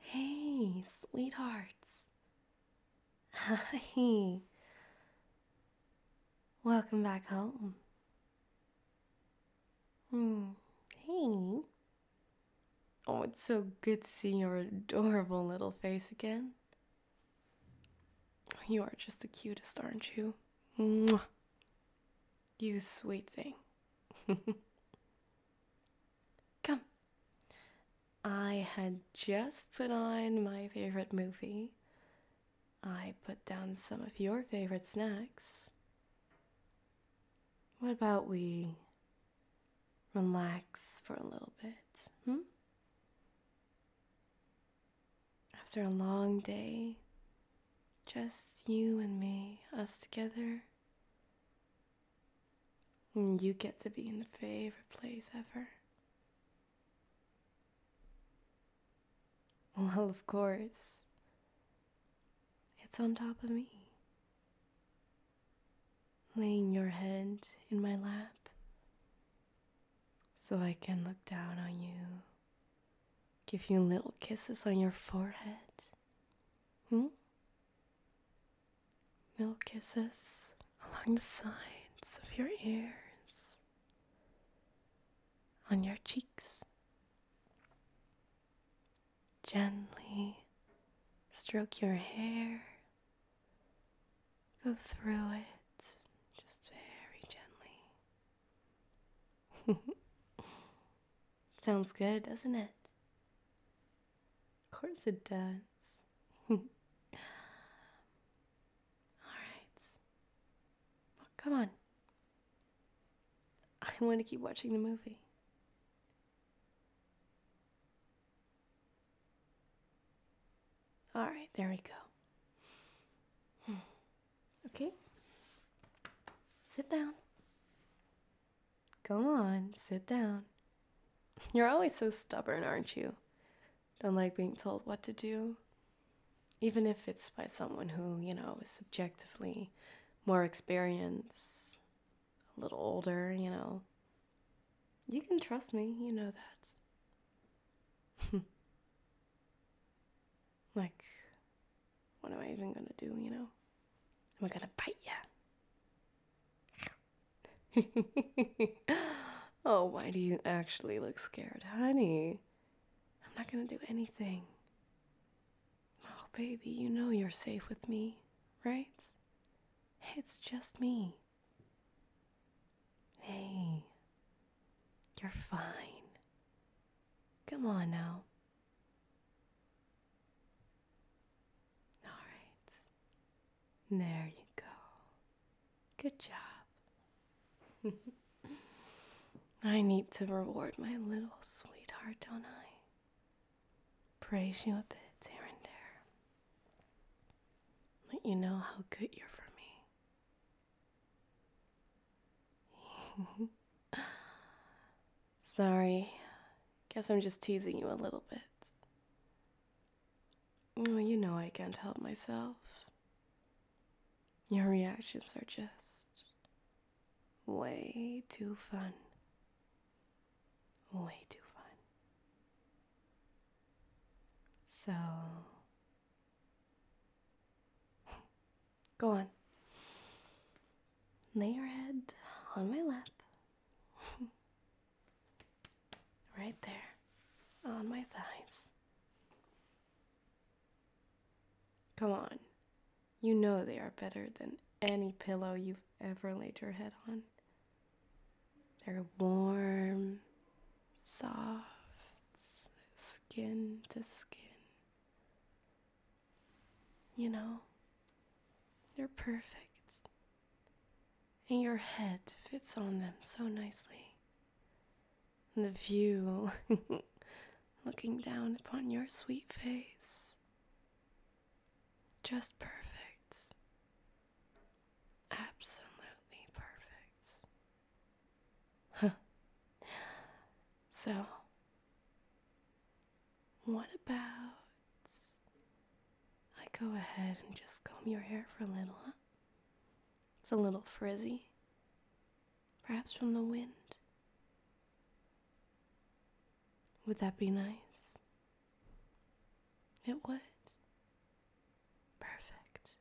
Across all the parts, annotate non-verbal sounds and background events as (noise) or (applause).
Hey, sweethearts. Hi. Welcome back home. Hmm. Hey. Oh, it's so good to see your adorable little face again. You are just the cutest, aren't you? You sweet thing. (laughs) Come. I had just put on my favorite movie. I put down some of your favorite snacks. What about we relax for a little bit? Hmm? After a long day, just you and me, us together. you get to be in the favorite place ever. (laughs) Well, of course. It's on top of me. Laying your head in my lap so I can look down on you give you little kisses on your forehead. Hmm? Little kisses along the sides of your ears, on your cheeks. Gently stroke your hair, go through it just very gently. (laughs) Sounds good, doesn't it? Of course it does. (laughs) All right. come on. I want to keep watching the movie. All right, there we go. Okay? Sit down. Come on, sit down. You're always so stubborn, aren't you? Don't like being told what to do. Even if it's by someone who, you know, is subjectively more experienced, a little older, you know. You can trust me, you know that. (laughs) Like, what am I even gonna do, you know? Am I gonna bite you? (laughs) oh, why do you actually look scared, honey? I'm not gonna do anything. Oh, baby, you know you're safe with me, right? It's just me. Hey, you're fine. Come on now. All right. There you go. Good job. (laughs) I need to reward my little sweetheart, don't I? Praise you a bit here and there. Let you know how good you're for me. (laughs) Sorry. Guess I'm just teasing you a little bit. Oh, you know I can't help myself. Your reactions are just way too fun. Way too fun. So, Go on. Lay your head on my lap. (laughs) right there, on my thighs. Come on. You know they are better than any pillow you've ever laid your head on. They're warm, soft skin to skin. You know, they're perfect. And your head fits on them so nicely. And the view (laughs) looking down upon your sweet face. Just perfect. Absolutely perfect. So, what about I go ahead and just comb your hair for a little, It's a little frizzy. Perhaps from the wind. Would that be nice? It would. Perfect.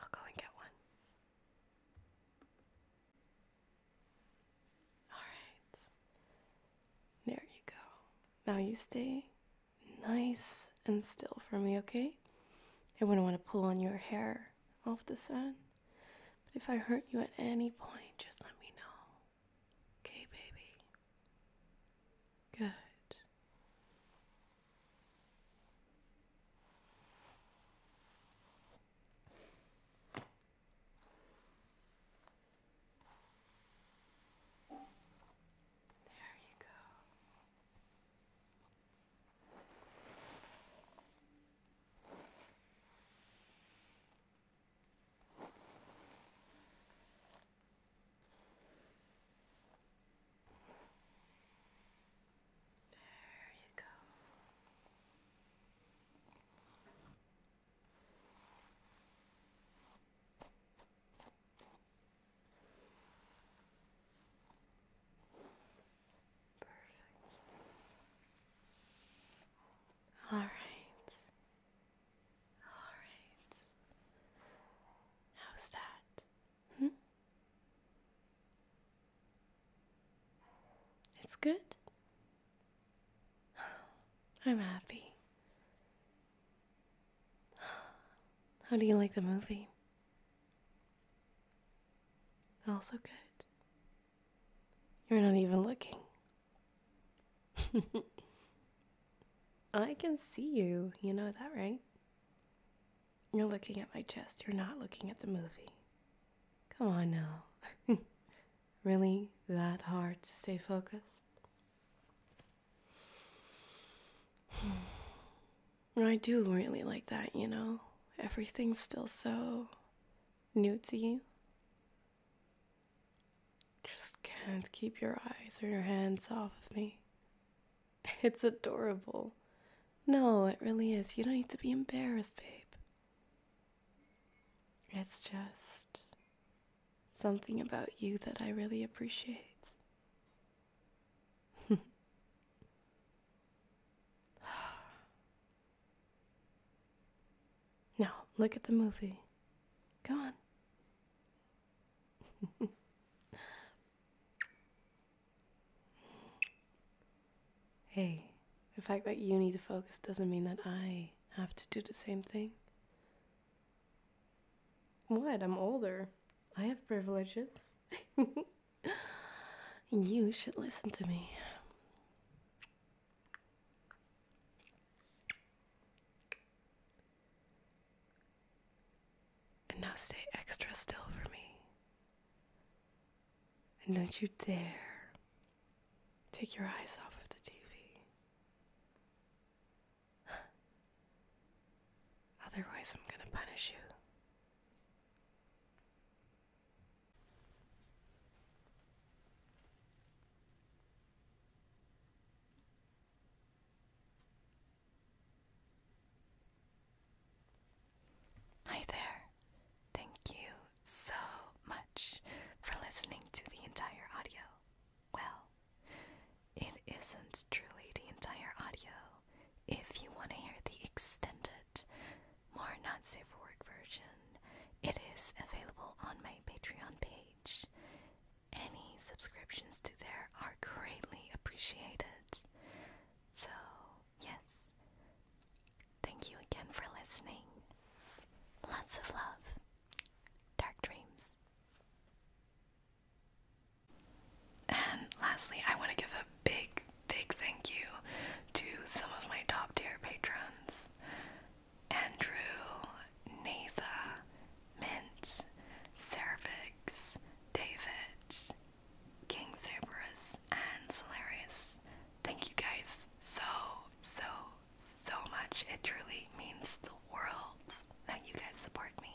I'll go and get one. All right. There you go. Now you stay nice and still for me, okay? I wouldn't want to pull on your hair off the sun. But if I hurt you at any point, just let me know. Okay, baby. Good. There you go. There you go. Perfect. All right. All right. How's that? Hmm? It's good. (sighs) I'm happy. (sighs) How do you like the movie? Also good. You're not even looking. (laughs) I can see you. You know that, right? You're looking at my chest. You're not looking at the movie. Come on now. (laughs) really that hard to stay focused? (sighs) I do really like that, you know? Everything's still so new to you. Just can't keep your eyes or your hands off of me. (laughs) It's adorable. No, it really is. You don't need to be embarrassed, babe. It's just something about you that I really appreciate. (laughs) Now, look at the movie. Go on. (laughs) hey, the fact that you need to focus doesn't mean that I have to do the same thing. What? I'm older. I have privileges. (laughs) You should listen to me. And now stay extra still for me. And don't you dare take your eyes off of the TV. Otherwise, I'm gonna punish you. Hi there. Thank you so much for listening to the entire audio. Well, it isn't truly the entire audio. If you want to hear the extended more not safe version. It is available on my Patreon page. Any subscriptions to there are greatly appreciated. So, yes. Thank you again for listening. Lots of love. Dark dreams. And lastly, I want to give a big, big thank you to some of my top tier patrons Andrew, Natha, Mint, Cervix, David, King Cerberus, and Solarius. Thank you guys so, so, so much. It truly means the world that you guys support me.